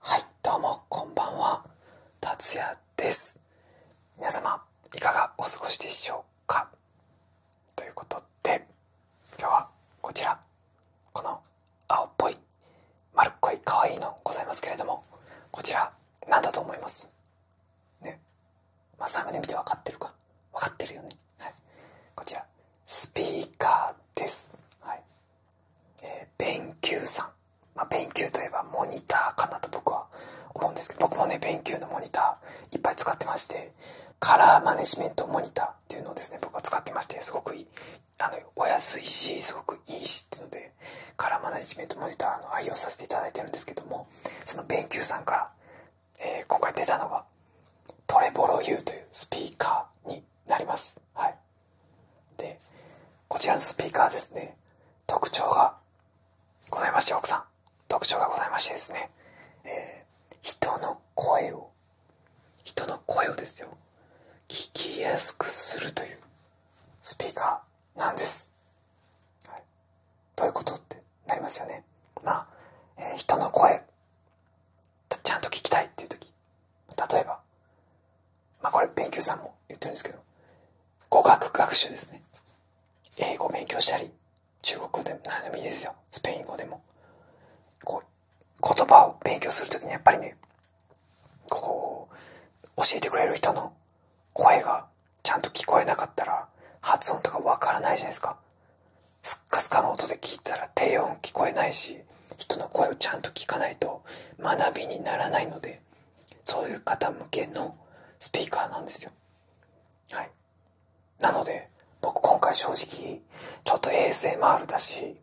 はいどうもこんばんは達也です皆様いかがお過ごしでしょうかということで今日はこちらこの青っぽい丸っこい可愛いのございますけれどもこちら何だと思いますねまあサムネ見て分かってるか分かってるよねはいこちらスピーカーですはいえー、勉強さん。まあ、勉強といえばモニターかなと僕は思うんですけど、僕もね、勉強のモニターいっぱい使ってまして、カラーマネジメントモニターっていうのをですね、僕は使ってまして、すごくいい。あの、お安いし、すごくいいしっていうので、カラーマネジメントモニターの愛用させていただいてるんですけども、その勉強さんから、え今回出たのが、トレボロ U というスピーカーになります。はい。で、こちらのスピーカーですね、特徴がございまして、奥さん。特徴がございましてですね、え人の声を、人の声をですよ、聞きやすくするというスピーカーなんです。はい、どういうことってなりますよね。まあ、え人の声、ちゃんと聞きたいっていう時、例えば、まこれ勉強さんも言ってるんですけど語学学習ですね英語勉強したり中国語でも何でもいいですよスペイン語でもこう言葉を勉強する時にやっぱりねこう教えてくれる人の声がちゃんと聞こえなかったら発音とかわからないじゃないですかスッカスカの音で聞いたら低音聞こえないし人の声をちゃんと聞かないと学びにならないのでそういう方向けのスピーカーなんですよはいなので僕今回正直ちょっと a s m るだし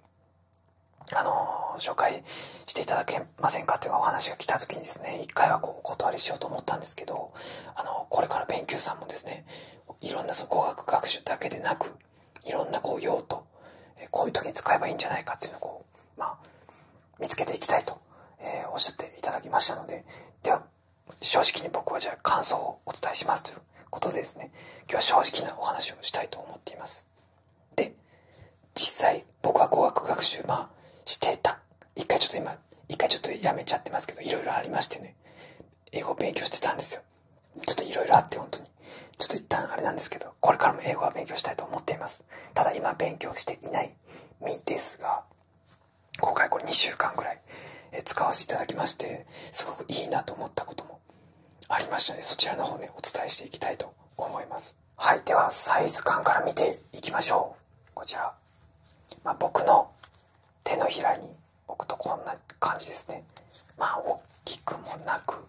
あの紹介していただけませんかというお話が来た時にですね一回はこうお断りしようと思ったんですけどあのこれから勉強さんもですねいろんなその語学学習だけでなくいろんなこう用途こういう時に使えばいいんじゃないかっていうのをこう、まあ、見つけていきたいと、えおっしゃっていただきましたのででは正直に僕はじゃあ感想をお伝えしますということでですね今日は正直なお話をしたいと思っていますで実際僕は語学学習まあしてた一回ちょっと今一回ちょっとやめちゃってますけどいろいろありましてね英語勉強してたんですよちょっといろいろあって本当に。ちょっと一旦あれなんですけど、これからも英語は勉強したいと思っています。ただ今勉強していない身ですが、今回これ2週間ぐらい使わせていただきまして、すごくいいなと思ったこともありましたの、ね、で、そちらの方ね、お伝えしていきたいと思います。はい、ではサイズ感から見ていきましょう。こちら。ま僕の手のひらに置くとこんな感じですねまあ大きくもなく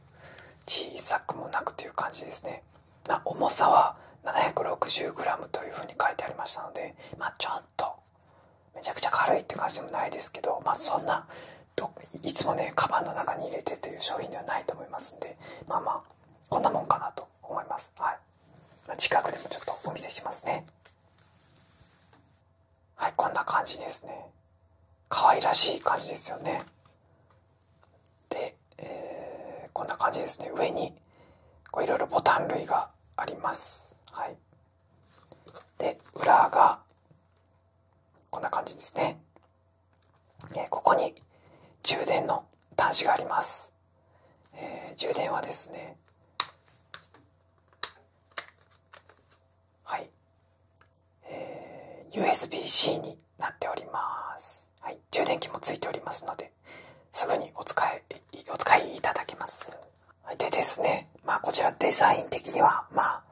小さくもなくという感じですねま重さは 760g というふうに書いてありましたのでまあちょっとめちゃくちゃ軽いって感じでもないですけどまあそんないつもねカバンの中に入れてという商品ではないと思いますんでまあまあこんなもんかなと思いますはい近くでもちょっとお見せしますねはい、こんな感じですね。可愛らしい感じですよね。で、えこんな感じですね。上に、こういろいろボタン類があります。はい。で、裏が、こんな感じですね。えここに充電の端子があります。え充電はですね、はい、えー、USB-C になっております、はい、充電器もついておりますのですぐにお使いお使いいただけます、はい、でですねまこちらデザイン的にはまあ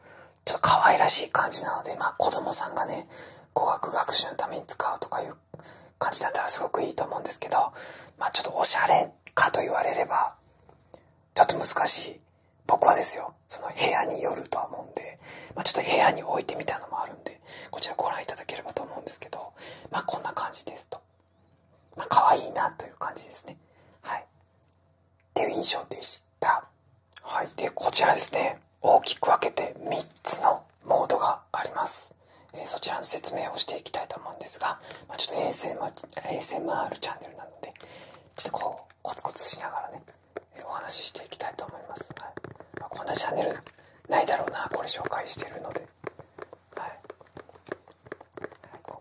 ちょっと可愛らしい感じなのでまあ子供さんがね語学学習のために使うとかいう感じだったらすごくいいと思うんですけどまちょっとおしゃれかと言われればちょっと難しい僕はですよ、その部屋によるとは思うんで、まちょっと部屋に置いてみたのもあるんで、こちらご覧いただければと思うんですけど、まあ、こんな感じですと。まあ、可愛いなという感じですね。はい。っていう印象でした。はい。で、こちらですね、大きく分けて3つのモードがあります。えそちらの説明をしていきたいと思うんですが、まちょっと ASMR, チャンネルなので、ちょっとこう。コツコツしながらね、お話ししていきたいと思います、はいこんなチャンネルないだろうなこれ紹介してるので、はい、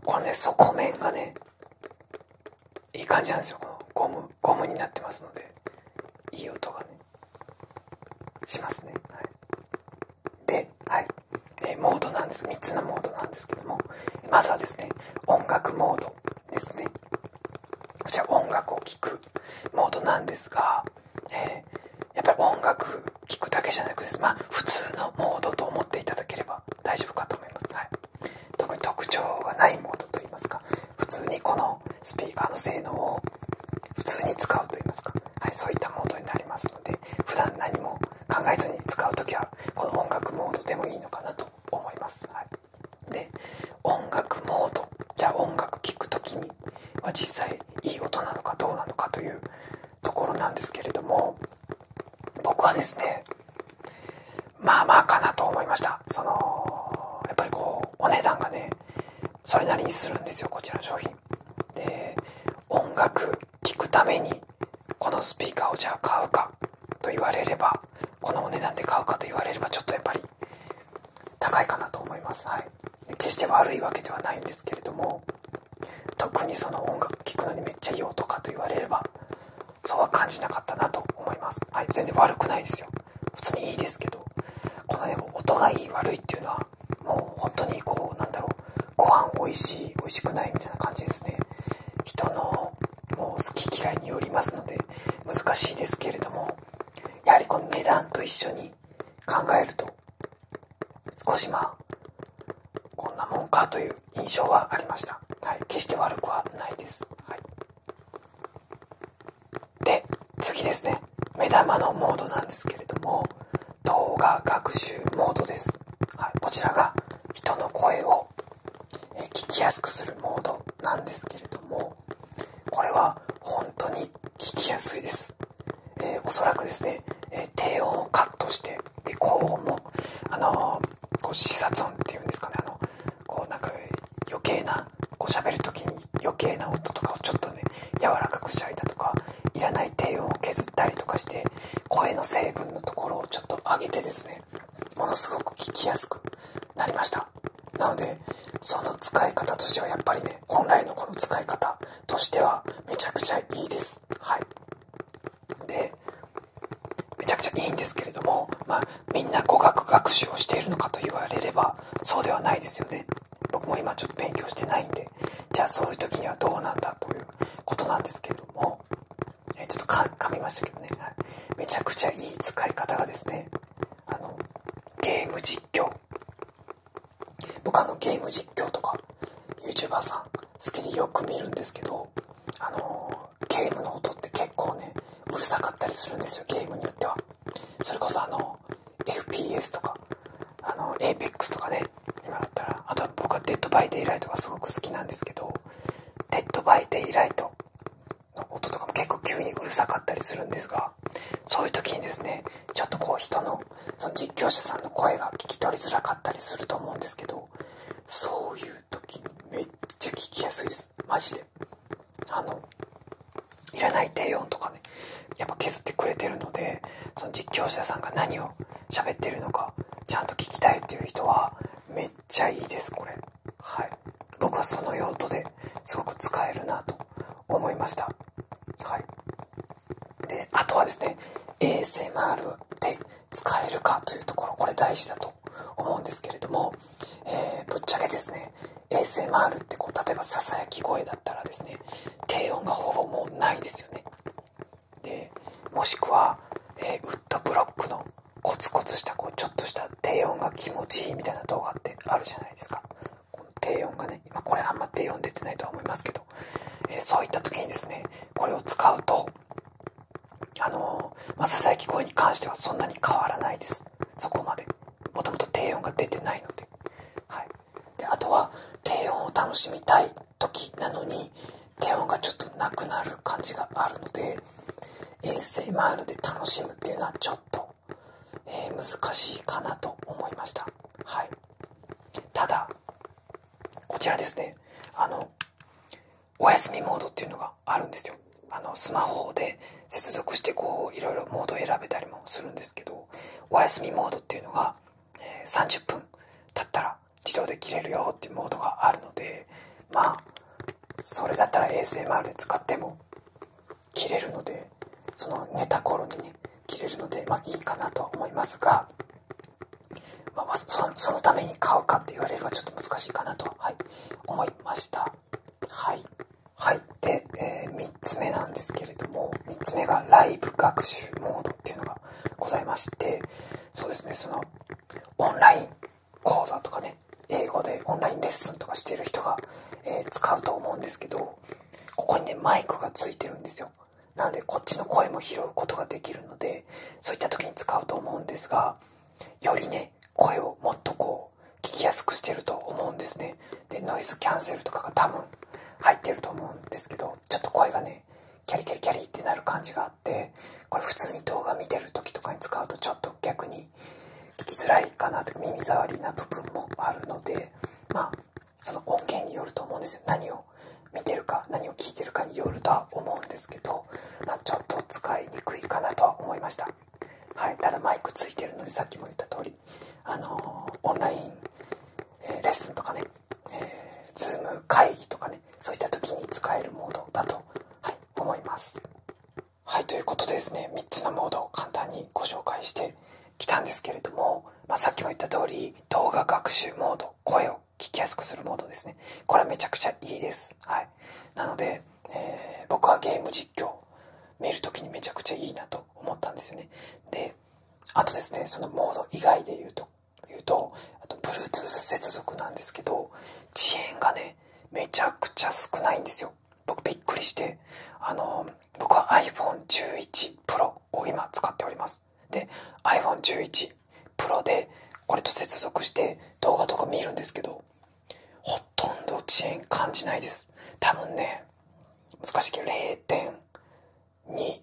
このね底面がねいい感じなんですよこのゴムゴムになってますのでいい音がねしますね、はい、で、はいえー、モードなんです3つのモードなんですけどもまずはですね音楽モードですねこちら音楽を聴くモードなんですが、えやっぱり音楽聴くだけじゃなくでま普通のモードと思っていただければ大丈夫かと思います、はい、特に特徴がないモードといいますか普通にこのスピーカーの性能を普通に使うといいますか、はい、そういったモードになりますので普段何も考えずに使う時はこの音楽モードでもいいのかなと思います、はい、で音楽モードじゃあ音楽聴く時には実際いい音なのかどうなのかというところなんですけれども僕はですねまあまあかなと思いましたそのやっぱりこうお値段がねそれなりにするんですよこちらの商品で音楽聴くためにこのスピーカーをじゃあ買うかと言われればこのお値段で買うかと言われればちょっとやっぱり高いかなと思いますはい決して悪いわけではないんですけれども特にその音楽聴くのにめっちゃいい音かと言われればそうは感じなかったなと思いますはい全然悪くないですよ普通にいいですけどこのでも音がいい悪いっていうのはもう本当にこうなんだろうご飯美味しい美味しくないみたいな感じですね人のもう好き嫌いによりますので難しいですけれどもやはりこの値段と一緒に考えると少しまあこんなもんかという印象はありました、はい、決して悪くはないです、はい、で次ですね目玉のモードなんですけれども動画学習モードです、はい、こちらが人の声を聞きやすくするモードなんですけれどもこれは本当に聞きやすいです、えおそらくですね、え低音をカットしてで高音も、あのこう視察音っていうんですかねあのこうなんか余計なこう喋る時に余計な音とかをちょっとね柔らかくしたりだとかいらない低音を削ったりとかして声の成分のところをちょっと上げてですねものすごく聞きやすくなりましたなのでその使い方としてはやっぱりね本来のこの使い方としてはめちゃくちゃいいですはいでめちゃくちゃいいんですけれどもまあみんな語学学習をしているのかと言われればそうではないですよね僕も今ちょっと勉強してないんでじゃあそういう時にはどうなんだということなんですけれどもえちょっと噛みましたけどね、めちゃくちゃいい使い方がですね、あの、ゲーム実況。僕あのゲーム実況とか、YouTuber さん好きでよく見るんですけど、あのゲームの音って結構ね、うるさかったりするんですよ、ゲームによっては。それこそあの、FPS とか、あの、APEX とかね、今だったらあと僕はデッドバイデイライトがすごく好きなんですけどデッドバイデイライトの音とかも結構急にうるさかったりするんですがそういう時にですねちょっとこう人のその実況者さんの声が聞き取りづらかったりすると思うんですけどそういう時にめっちゃ聞きやすいですマジであのいらない低音とかねやっぱ削ってくれてるのでその実況者さんが何を喋ってるのか、ちゃんと聞きたいっていう人は、めっちゃいいです、これ。はい。僕はその用途ですごく使えるなと思いました。はい。で、あとはですね、ASMR で使えるかというところ、これ大事だと思うんですけれども、えー、ぶっちゃけですね、ASMR ってこう、例えば囁き声だったらですね、低音がほぼもうないですよね。でもしくは、えウッドブロックのコツコツしたこうちょっとした低音が気持ちいいみたいな動画ってあるじゃないですかこの低音がね今これあんま低音出てないとは思いますけど、えそういった時にですねこれを使うとあのまささやき声に関してはそんなに変わらないですそこまでもともと低音が出てないので,、であとは低音を楽しみたい時なのに低音がちょっとなくなる感じがあるので ASMR で楽しむっていうのはちょっと、えー、難しいかなと思いましたはいただこちらですねあのお休みモードっていうのがあるんですよあのスマホで接続してこういろいろモード選べたりもするんですけどお休みモードっていうのが、えー、30分経ったら自動で切れるよっていうモードがあるのでまあそれだったら ASMR で使っても切れるのでその寝た頃にね切れるのでまいいかなとは思いますが、まそのために買うかって言われるはちょっと難しいかなと、はい、思いましたはいはいで、え3つ目なんですけれども3つ目がライブ学習モードっていうのがございましてそうですねそのオンライン講座とかね英語でオンラインレッスンとかしてる人が、え使うと思うんですけどここにねマイクがついてるんですよなのでこっちの声も拾うことができるのでそういった時に使うと思うんですがよりね声をもっとこう聞きやすくしてると思うんですねでノイズキャンセルとかが多分入ってると思うんですけどちょっと声がねキャリキャリキャリってなる感じがあってこれ普通に動画見てる時とかに使うとちょっと逆に聞きづらいかなとか耳障りな部分もあるのでまあその音源によると思うんですよ何を見てるか何を聞いてるかによるとは思うんですけど、まちょっと使いにくいかなとは思いました、はい、ただマイクついてるのでさっきも言った通りあのオンライン、えレッスンとかねえー、ズーム会議とかねそういった時に使えるモードだと、はい、思いますはいということでですね3つのモードを簡単にご紹介してきたんですけれども、まさっきも言った通り動画学習モード声を聞きやすくするモードですねこれはめちゃくちゃいいですはいなので、え僕はゲーム実況見る時にめちゃくちゃいいなと思ったんですよねであとですね、そのモード以外で言うと、言うと、あと Bluetooth 接続なんですけど、遅延がね、めちゃくちゃ少ないんですよ。僕びっくりして、あの、僕は iPhone11 Pro を今使っております。で、iPhone11 Pro でこれと接続して動画とか見るんですけど、ほとんど遅延感じないです。多分ね、難しいけど0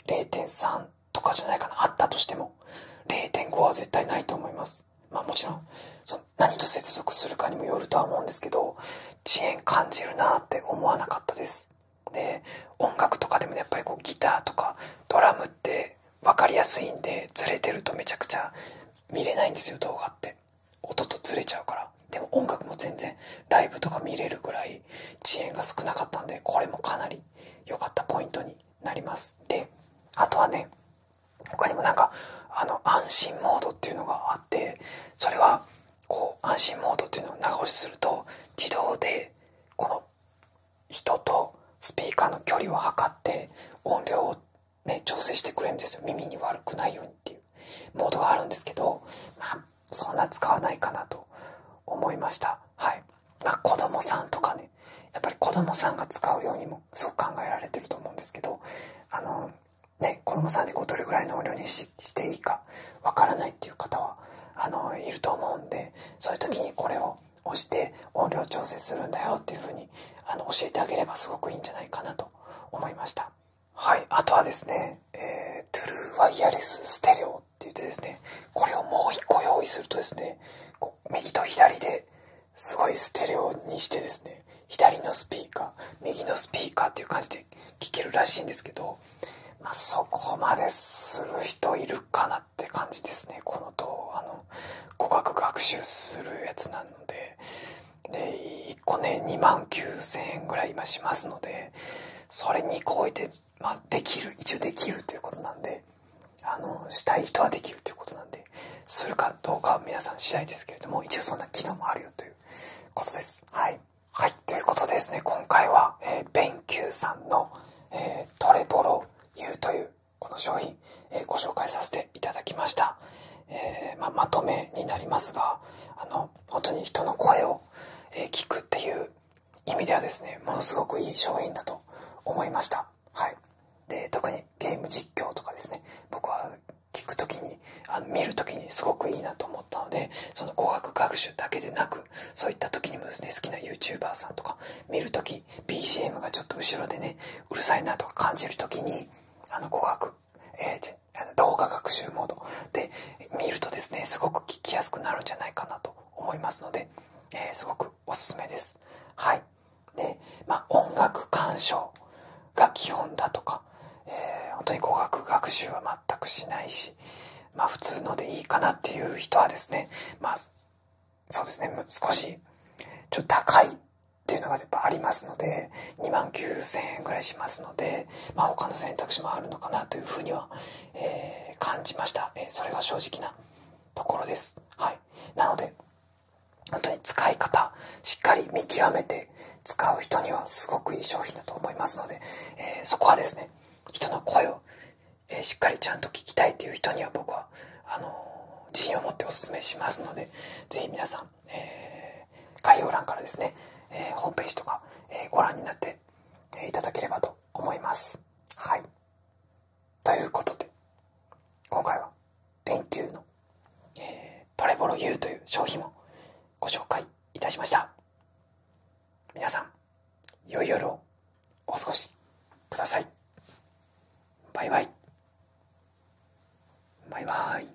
0.3とかじゃないかなあったとしても0.5は絶対ないと思いますまあもちろんその何と接続するかにもよるとは思うんですけど遅延感じるなって思わなかったですで音楽とかでもやっぱりこうギターとかドラムって分かりやすいんでずれてるとめちゃくちゃ見れないんですよ動画って音とずれちゃうからでも音楽も全然ライブとか見れるぐらい遅延が少なかったんでこれもかなり良かったポイントになりますであとはね他にもなんかあの安心モードっていうのがあってそれはこう安心モードっていうのを長押しすると自動でこの人とスピーカーの距離を測って音量をね調整してくれるんですよ耳に悪くないようにっていうモードがあるんですけどそんな使わないかなと思いましたはいまあ子供さんとかねやっぱり子供さんが使うようにもすごく考えられてると思うんですけどあのね子供さんでこうどれぐらいの音量にししていいかわからないっていう方はあのいると思うんでそういう時にこれを押して音量調整するんだよっていう風にあの教えてあげればすごくいいんじゃないかなと思いましたはい、あとはですね、トゥルーワイヤレスステレオって言ってですね、これをもう一個用意するとですね、右と左ですごいステレオにしてですね、左のスピーカー、右のスピーカーっていう感じで聴けるらしいんですけど、そこまでする人いるかなって感じですね、この動画の語学学習するやつなので、で、1個ね、2万9000円ぐらい今しますので、それにこえて、まあ、できる、一応できるということなんで、あの、したい人はできるということなんで、するかどうかは皆さん次第ですけれども、一応そんな機能もあるよということです。はい。はい、ということでですね、今回は、えー、ベンキューさんの、えー、トレボロ U という、この商品、えー、ご紹介させていただきました。えー、まあ、まとめになりますが、あの、本当に人の声を聞くっていう意味ではですねものすごくいい商品だと思いましたはいで特にゲーム実況とかですね僕は聞く時にあの見る時にすごくいいなと思ったのでその語学学習だけでなくそういった時にもですね好きな YouTuber さんとか見る時 BGM がちょっと後ろでねうるさいなとか感じる時にあの語学、えー、動画学習モードで見るとですねすごく聞きやすくなるんじゃないかなと思いますので、えすごくおすすめです。はいでま音楽鑑賞が基本だとか、えー、本当に語学学習は全くしないし、ま普通のでいいかなっていう人はですね、まあ、そうですね少しちょっと高いっていうのがやっぱありますので、2万9000円ぐらいしますので、ま他の選択肢もあるのかなというふうには、え感じました、えそれが正直なところです、はい、なので本当に使い方しっかり見極めて使う人にはすごくいい商品だと思いますので、えそこはですね人の声を、えしっかりちゃんと聞きたいという人には僕はあの自信を持ってお勧めしますのでぜひ皆さん、え概要欄からですね、えホームページとか、えご覧になっていただければと思います。はい。ということで、今回は、電球の、えトレボロ U という商品をご紹介いたしました。皆さん、良い夜をお過ごしください。バイバイ。バイバイ。